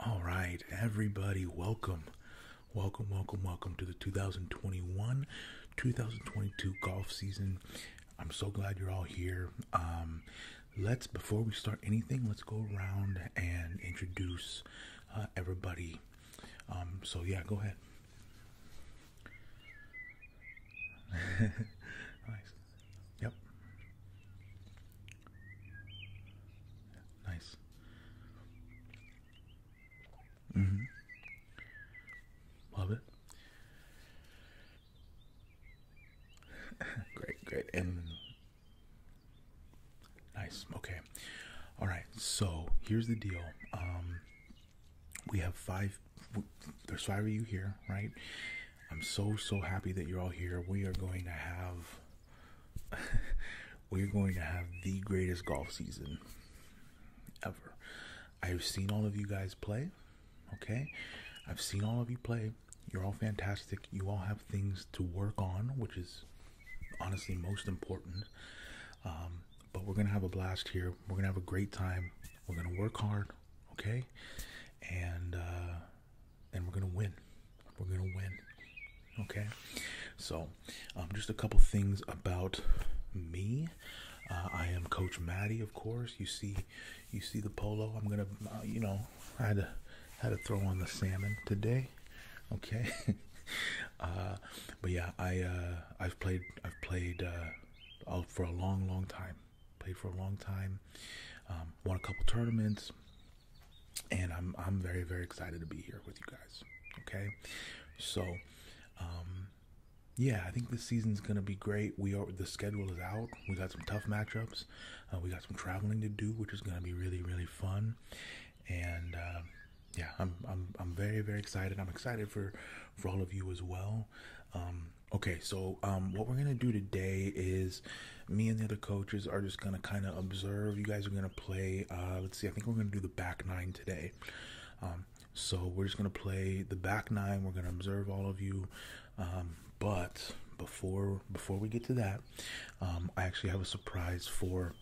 All right, everybody, welcome. Welcome, welcome, welcome to the 2021 2022 golf season. I'm so glad you're all here. Um, let's, before we start anything, let's go around and introduce uh, everybody. Um, so yeah, go ahead. nice. Yep. Nice. Mhm. Love it. great, great. And Nice. Okay. All right. So here's the deal. Um, we have five. There's five of you here, right? I'm so so happy that you're all here. We are going to have. we're going to have the greatest golf season ever. I've seen all of you guys play. Okay, I've seen all of you play. You're all fantastic. You all have things to work on, which is honestly most important. Um, but we're gonna have a blast here. We're gonna have a great time. We're gonna work hard, okay? And uh, and we're gonna win. We're gonna win, okay? So, um, just a couple things about me. Uh, I am Coach Maddie, of course. You see, you see the polo. I'm gonna, uh, you know, I had to had to throw on the salmon today. Okay. Uh, but yeah, I uh, I've played I've played uh, for a long, long time. Played for a long time. Um, won a couple tournaments, and I'm I'm very very excited to be here with you guys. Okay. So, um, yeah, I think this season's gonna be great. We are the schedule is out. We got some tough matchups. we got some traveling to do, which is gonna be really really fun and um, yeah, I'm I'm I'm very very excited. I'm excited for for all of you as well. Um, okay, so um, what we're gonna do today is me and the other coaches are just gonna kind of observe. You guys are gonna play. Uh, let's see. I think we're gonna do the back nine today. Um, so we're just gonna play the back nine. We're gonna observe all of you. Um, but before before we get to that, um, I actually have a surprise for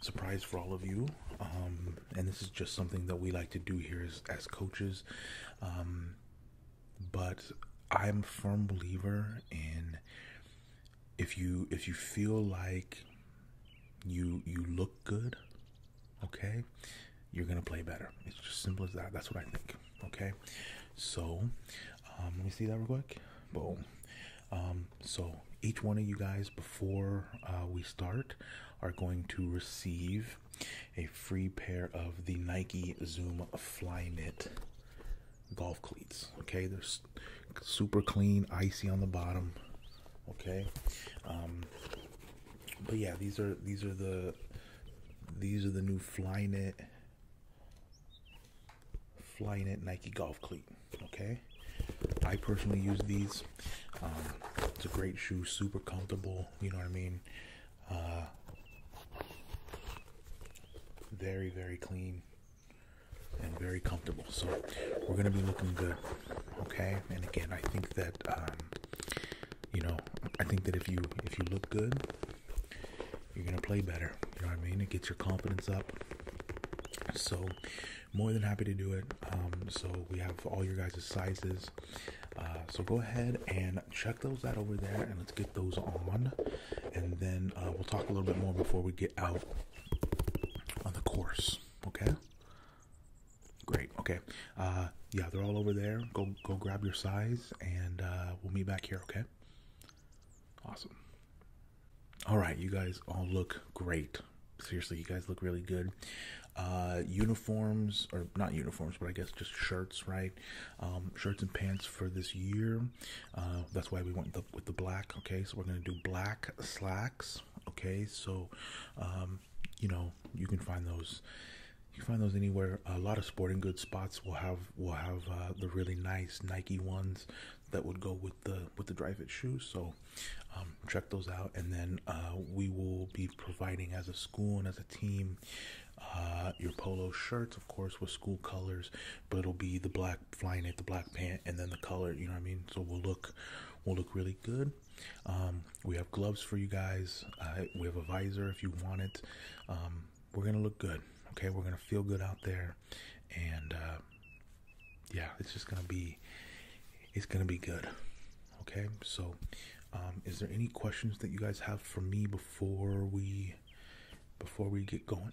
surprise for all of you. Um, and this is just something that we like to do here as, coaches. Um, but I'm a firm believer in if you if you feel like you you look good, okay, you're gonna play better. It's just simple as that. That's what I think. Okay, so let me see that real quick. Boom. Um, so each one of you guys, before uh, we start, are going to receive a free pair of the Nike Zoom Flyknit golf cleats. Okay, they're super clean, icy on the bottom. Okay, um, but yeah, these are these are the these are the new Flyknit Flying it Nike golf cleat. Okay, I personally use these. Um, it's a great shoe, super comfortable. You know what I mean? Uh, very very clean and very comfortable. So we're gonna be looking good. Okay, and again, I think that um, you know, I think that if you if you look good, you're gonna play better. You know what I mean? It gets your confidence up. So, more than happy to do it. Um, so, we have all your guys' sizes. Uh, so, go ahead and check those out over there and let's get those on. And then uh, we'll talk a little bit more before we get out on the course. Okay? Great. Okay. Uh, yeah, they're all over there. Go, go grab your size and we'll meet back here. Okay? Awesome. All right, you guys all look great. Seriously, you guys look really good. Uh, uniforms, or not uniforms, but I guess just shirts, right? Um, shirts and pants for this year. Uh, that's why we went with the black, okay? So we're going to do black slacks, okay? So, um, you know, you can find those. You can find those anywhere. A lot of sporting goods spots will have will have uh, the really nice Nike ones that would go with the with the drive it shoes so um, check those out and then uh, we will be providing as a school and as a team uh, your polo shirts of course with school colors but it'll be the black flying at the black pant and then the color you know what i mean so we'll look will look really good. Um, we have gloves for you guys. Uh, we have a visor if you want it. Um, we're gonna look good. Okay, we're gonna feel good out there and uh, yeah, it's just gonna be it's gonna be good. Okay, so um, is there any questions that you guys have for me before we before we get going?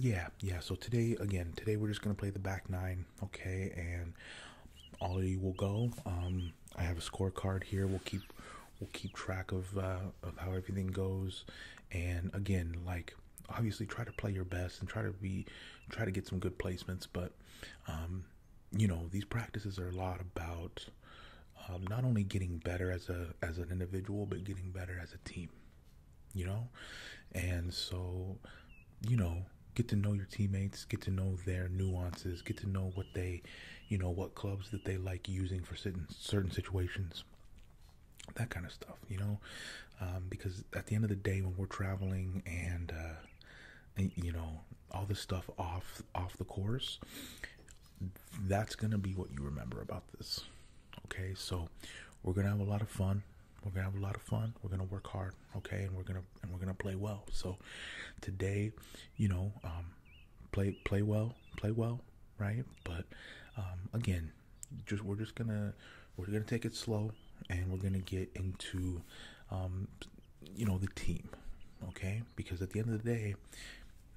Yeah, yeah. So today, again, today we're just gonna play the back nine, okay? And all of you will go. Um, I have a scorecard here. We'll keep we'll keep track of uh, of how everything goes and again like obviously try to play your best and try to be try to get some good placements but um, you know these practices are a lot about um, not only getting better as a as an individual but getting better as a team you know and so you know get to know your teammates get to know their nuances get to know what they you know, what clubs that they like using for certain certain situations, that kind of stuff. You know, um, because at the end of the day, when we're traveling uh, and, you know all this stuff off off the course, that's gonna be what you remember about this. Okay, so we're gonna have a lot of fun. We're gonna have a lot of fun. We're gonna work hard, okay, and we're gonna and we're gonna play well. So today, you know, um, play play well, play well, right? But um, again, just we're just gonna we're gonna take it slow, and we're gonna get into um, you know the team, okay? Because at the end of the day,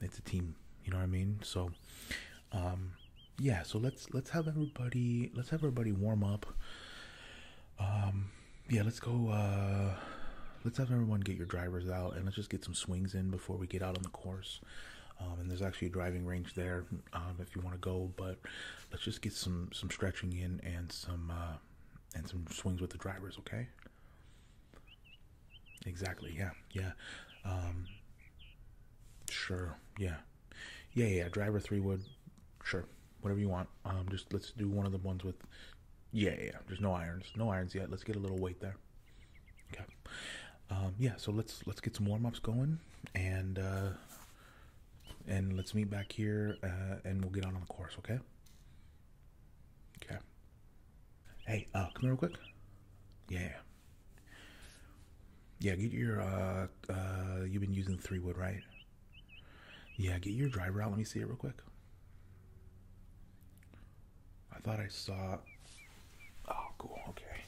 it's a team. You know what I mean? So, um, yeah. So let's let's have everybody let's have everybody warm up. Um, yeah, let's go. Uh, let's have everyone get your drivers out and let's just get some swings in before we get out on the course. Um, and there's actually a driving range there um, if you want to go, but let's just get some some stretching in and some uh, and some swings with the drivers, okay? Exactly. Yeah. Yeah. Um, sure. Yeah. Yeah. Yeah. Driver three wood. Sure. Whatever you want. just let's do one of the ones with. Yeah. Yeah. There's no irons. No irons yet. Let's get a little weight there. Okay. Um, yeah. So let's let's get some warm ups going, and uh, and let's meet back here, uh, and we'll get on on the course. Okay. Okay. Hey, uh, come here real quick. Yeah. Yeah. Get your. uh, uh you've been using three wood, right? Yeah. Get your driver out. Let me see it real quick. I thought I saw. Oh, cool. Okay.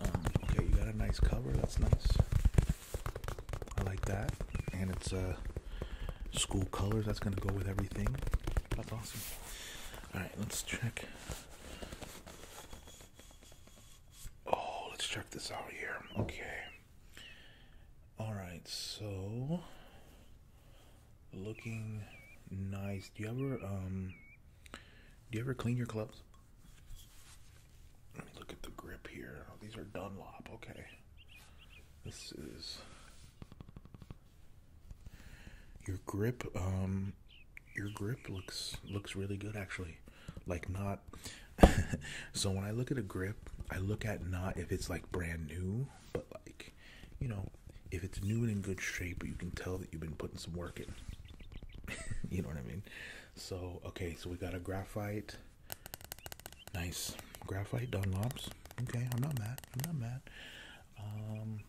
Um, okay, you got a nice cover. That's nice. I like that, and it's uh, school colors. That's gonna go with everything. That's awesome. All right, let's check. Oh, let's check this out here. Okay. All right, so looking nice. Do you ever um do you ever clean your clubs? Let me look at the grip here. Oh, these are Dunlop. Okay. This is your grip um your grip looks looks really good actually. Like not so when I look at a grip, I look at not if it's like brand new, but like you know, if it's new and in good shape, but you can tell that you've been putting some work in. you know what I mean? So, okay, so we got a graphite. Nice. Graphite Dunlops. Okay, I'm not mad. I'm not mad. Um,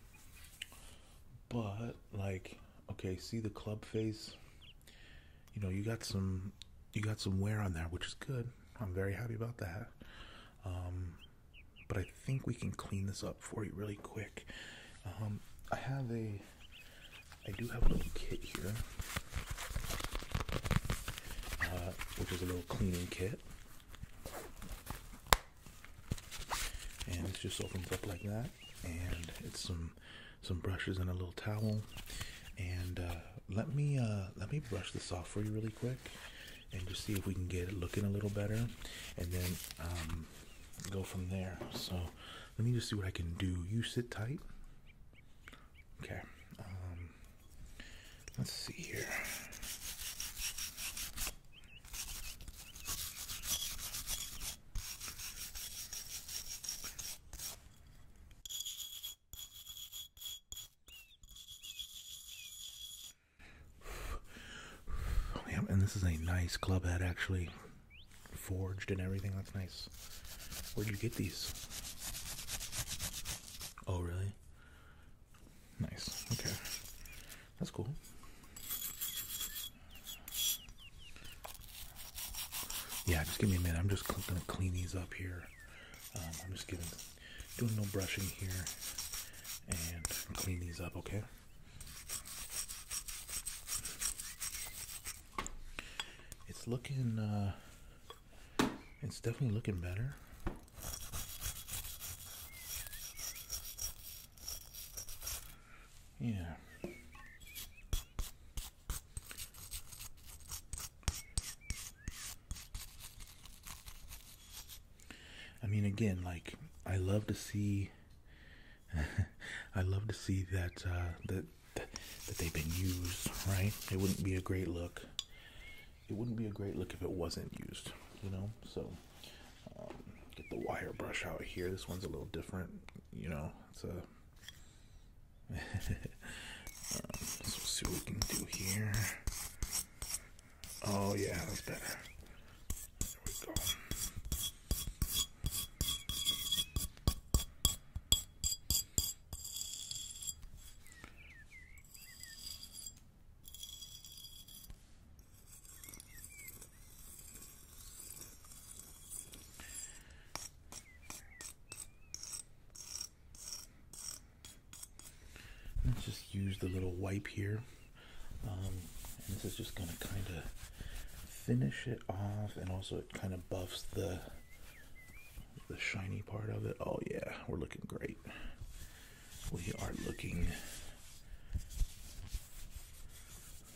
but, like, okay, see the club face? You know, you got some you got some wear on there, which is good. I'm very happy about that. Um, but I think we can clean this up for you really quick. Um, I have a, I do have a little kit here, uh, which is a little cleaning kit, and it's just opens up like that, and it's some some brushes and a little towel, and uh, let me uh, let me brush this off for you really quick and just see if we can get it looking a little better and then um, go from there. So let me just see what I can do. You sit tight. Okay. Um, let's see here. Oh, and this is a nice club head actually forged and everything that's nice where'd you get these oh really nice okay that's cool yeah just give me a minute i'm just gonna clean these up here um, i'm just giving doing no brushing here and clean these up, okay? It's looking, uh, it's definitely looking better. Yeah. I mean, again, like I love to see, I love to see that uh, that that they've been used, right? It wouldn't be a great look. It wouldn't be a great look if it wasn't used, you know. So um, get the wire brush out here. This one's a little different, you know. It's a um, let's see what we can do here. Oh yeah, that's better. There we go. Let's just use the little wipe here. Um, and this is just going to kind of finish it off and also it kind of buffs the the shiny part of it. Oh yeah, we're looking great. We are looking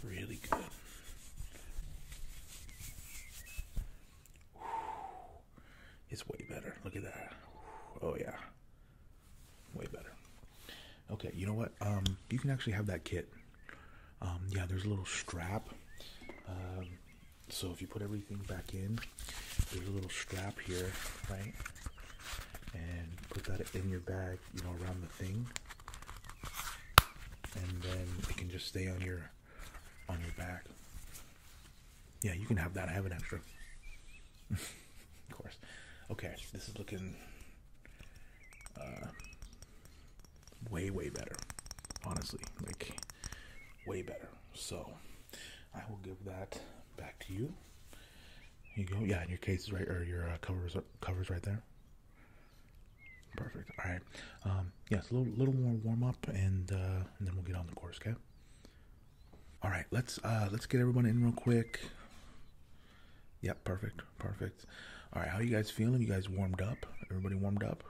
really good. It's way better. Look at that. Oh yeah way better. Okay, you know what? Um, you can actually have that kit. Um, yeah, there's a little strap. Um, so if you put everything back in, there's a little strap here, right? And put that in your bag, you know, around the thing, and then it can just stay on your on your back. Yeah, you can have that. I have an extra. of course. Okay, this is looking uh, way, way better. Honestly, like way better. So I will give that back to you. you go. Yeah, and your case is right, or your uh, covers covers right there. Perfect. All right. Um, yes, yeah, a little, little more warm up, and, uh, and then we'll get on the course. Okay. All right, let's uh, let's get everyone in real quick. Yep, perfect, perfect. All right, how you guys feeling? You guys warmed up? Everybody warmed up?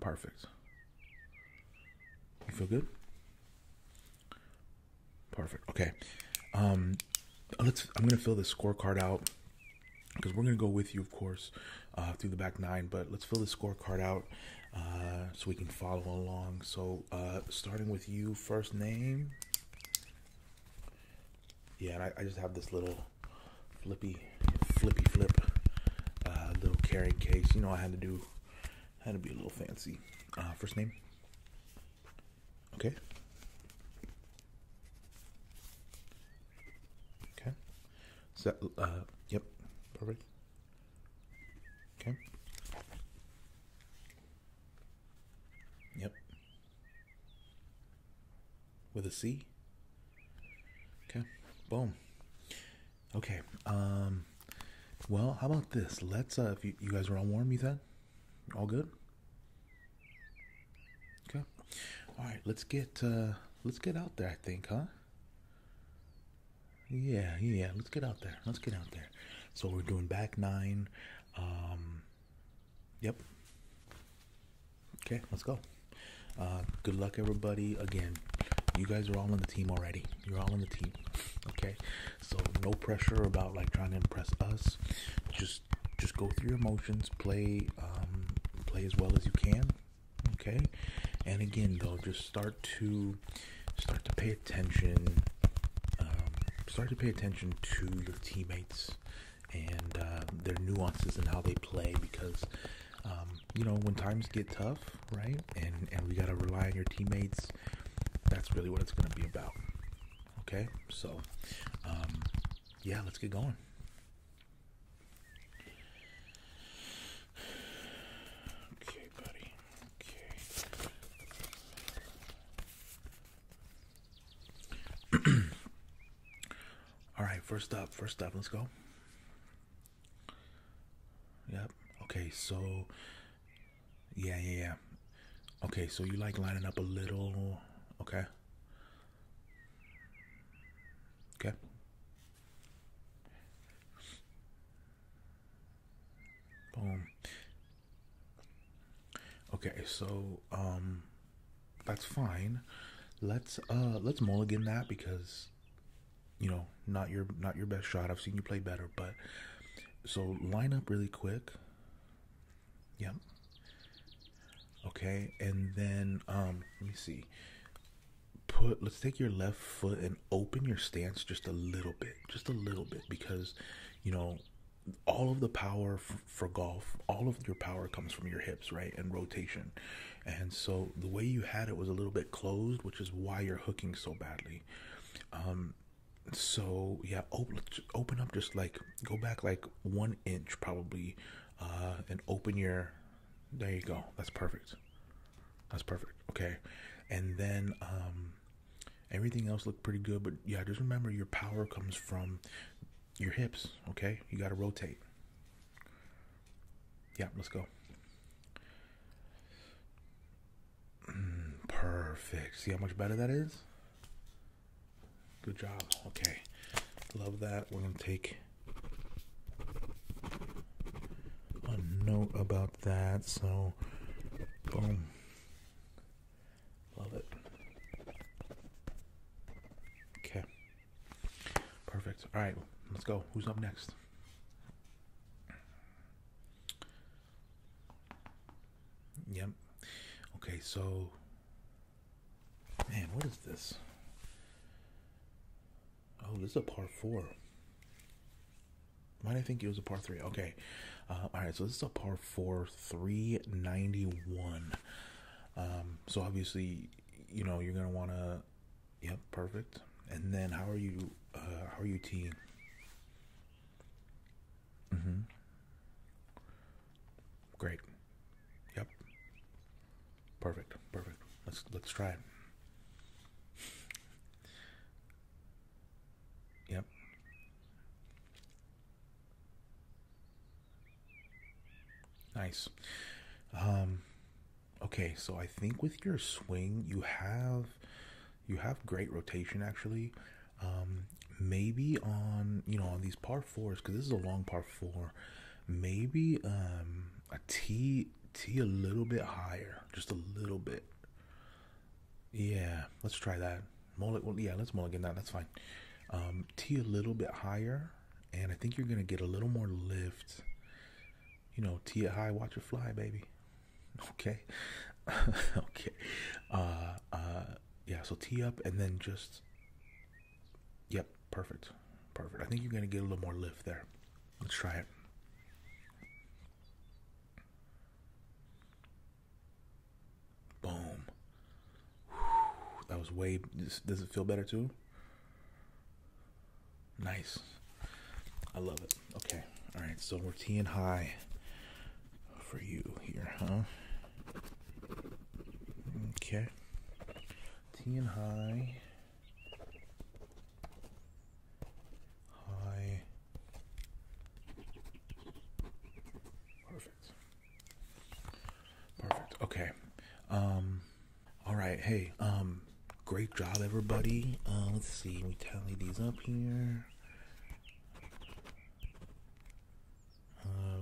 Perfect. You feel good? Perfect. Okay. Um, let's. I'm gonna fill this scorecard out because we're gonna go with you, of course, uh, through the back nine. But let's fill this scorecard out, uh, so we can follow along. So, uh, starting with you, first name. Yeah, I, just have this little flippy, flippy flip, uh, little carrying case. You know, I had to do, had to be a little fancy. Uh, first name. Okay. Okay. So, uh, yep. Perfect. Okay. Yep. With a C. Okay. Boom. Okay. Um. Well, how about this? Let's. Uh, if you, you guys are all warm, you said, all good. Okay. All right. Let's get. Uh, let's get out there. I think, huh? Yeah, yeah. Let's get out there. Let's get out there. So we're doing back nine. Um, yep. Okay, let's go. Uh, good luck, everybody. Again, you guys are all on the team already. You're all on the team. Okay, so no pressure about like trying to impress us. Just just go through your emotions. Play um, play as well as you can. Okay, and again though, just start to start to pay attention. Um, start to pay attention to your teammates and uh, their nuances and how they play because um, you know when times get tough, right? And and we gotta rely on your teammates. That's really what it's gonna be about. Okay, so um, yeah, let's get going. Okay, buddy. Okay. All right, first stop. first stop. let's go. Yep. Okay, so yeah, yeah, yeah. Okay, so you like lining up a little, okay? Okay. Boom. Okay, so um that's fine. Let's uh let's mulligan that because you know, not your not your best shot. I've seen you play better, but so line up really quick. Yep. Okay, and then um let me see. Put let's take your left foot and open your stance just a little bit, just a little bit, because you know all of the power for golf, all of your power comes from your hips, right, and rotation. And so the way you had it was a little bit closed, which is why you're hooking so badly. Um, so yeah, open, open up just like go back like one inch probably, uh, and open your. There you go. That's perfect. That's perfect. Okay, and then um, Everything else looked pretty good, but yeah, just remember your power comes from your hips, okay? You got to rotate. Yeah, let's go. perfect. See how much better that is? Good job. Okay. Love that. We're going to take a note about that. So so, oh, boom. Love it. Okay. Perfect. All right, let's go. Who's up next? Yep. Okay, so man, what is this? Oh, this is a par four. Why did I think it was a par three? Okay. Uh, all right. So this is a par four, 391. Um, so obviously, you know, you're going to want to, yep, perfect. And then how are you, uh, how are you team? Mm-hmm. Great. Yep. Perfect. Perfect. Let's, let's try it. Yep. Nice. Um, okay, so I think with your swing, you have you have great rotation actually. Um, maybe on you know on these par fours because this is a long par four. Maybe um, a tee tee a little bit higher, just a little bit. Yeah, let's try that. Mullet, well, yeah, let's mulligan that. That's fine. Um, T a little bit higher, and I think you're gonna get a little more lift. You know, T high, watch it fly, baby. Okay, okay. Uh, uh, yeah. So T up, and then just. Yep, perfect, perfect. I think you're gonna get a little more lift there. Let's try it. Boom. that was way. Does it feel better too? Nice. I love it. Okay. All right. So we're teeing high for you here, huh? Okay. Teeing high. High. Perfect. Perfect. Okay. Um. All right. Hey. Um. Great job, everybody. Uh, let's see. We tally these up here. Uh,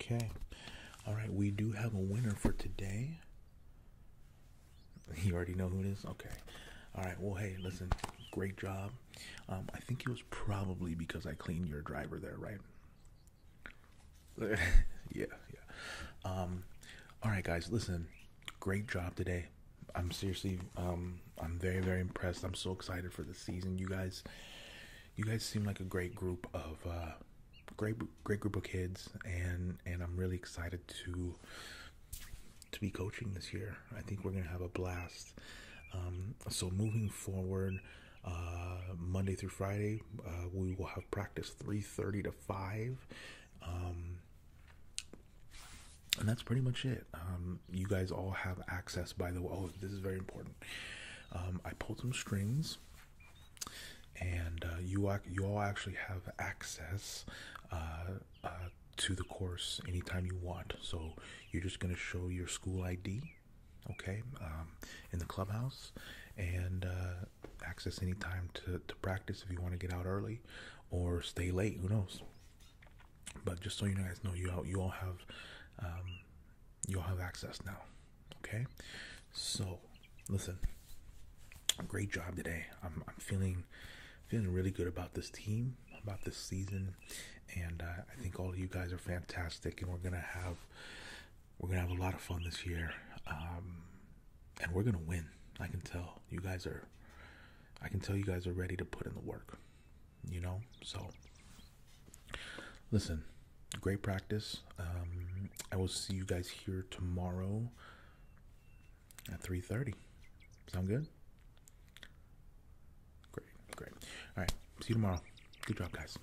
okay. All right, we do have a winner for today. You already know who it is? Okay. All right. Well, hey, listen. Great job. Um, I think it was probably because I cleaned your driver there, right? yeah, yeah. Um, all right, guys, listen. Great job today. I'm seriously, um, I'm very, very impressed. I'm so excited for the season. You guys, you guys seem like a great group of, uh, great, great group of kids, and and I'm really excited to to be coaching this year. I think we're gonna have a blast. Um, so moving forward, uh, Monday through Friday, uh, we will have practice 3.30 to 5 um, and that's pretty much it um, you guys all have access by the way oh, this is very important um, i pulled some strings and uh, you, all actually have access uh, uh, to the course anytime you want so you're just going to show your school id okay in the clubhouse and access any time to, to practice if you want to get out early or stay late. Who knows? But just so you guys know, you all, you all have um, you all have access now. Okay, so listen, great job today. I'm I'm feeling feeling really good about this team, about this season, and uh, I think all you guys are fantastic. And we're gonna have we're gonna have a lot of fun this year, um, and we're gonna win. I can tell you guys are. I can tell you guys are ready to put in the work. You know, so listen, great practice. Um, I will see you guys here tomorrow at three thirty. Sound good? Great, great. All right, see you tomorrow. Good job, guys.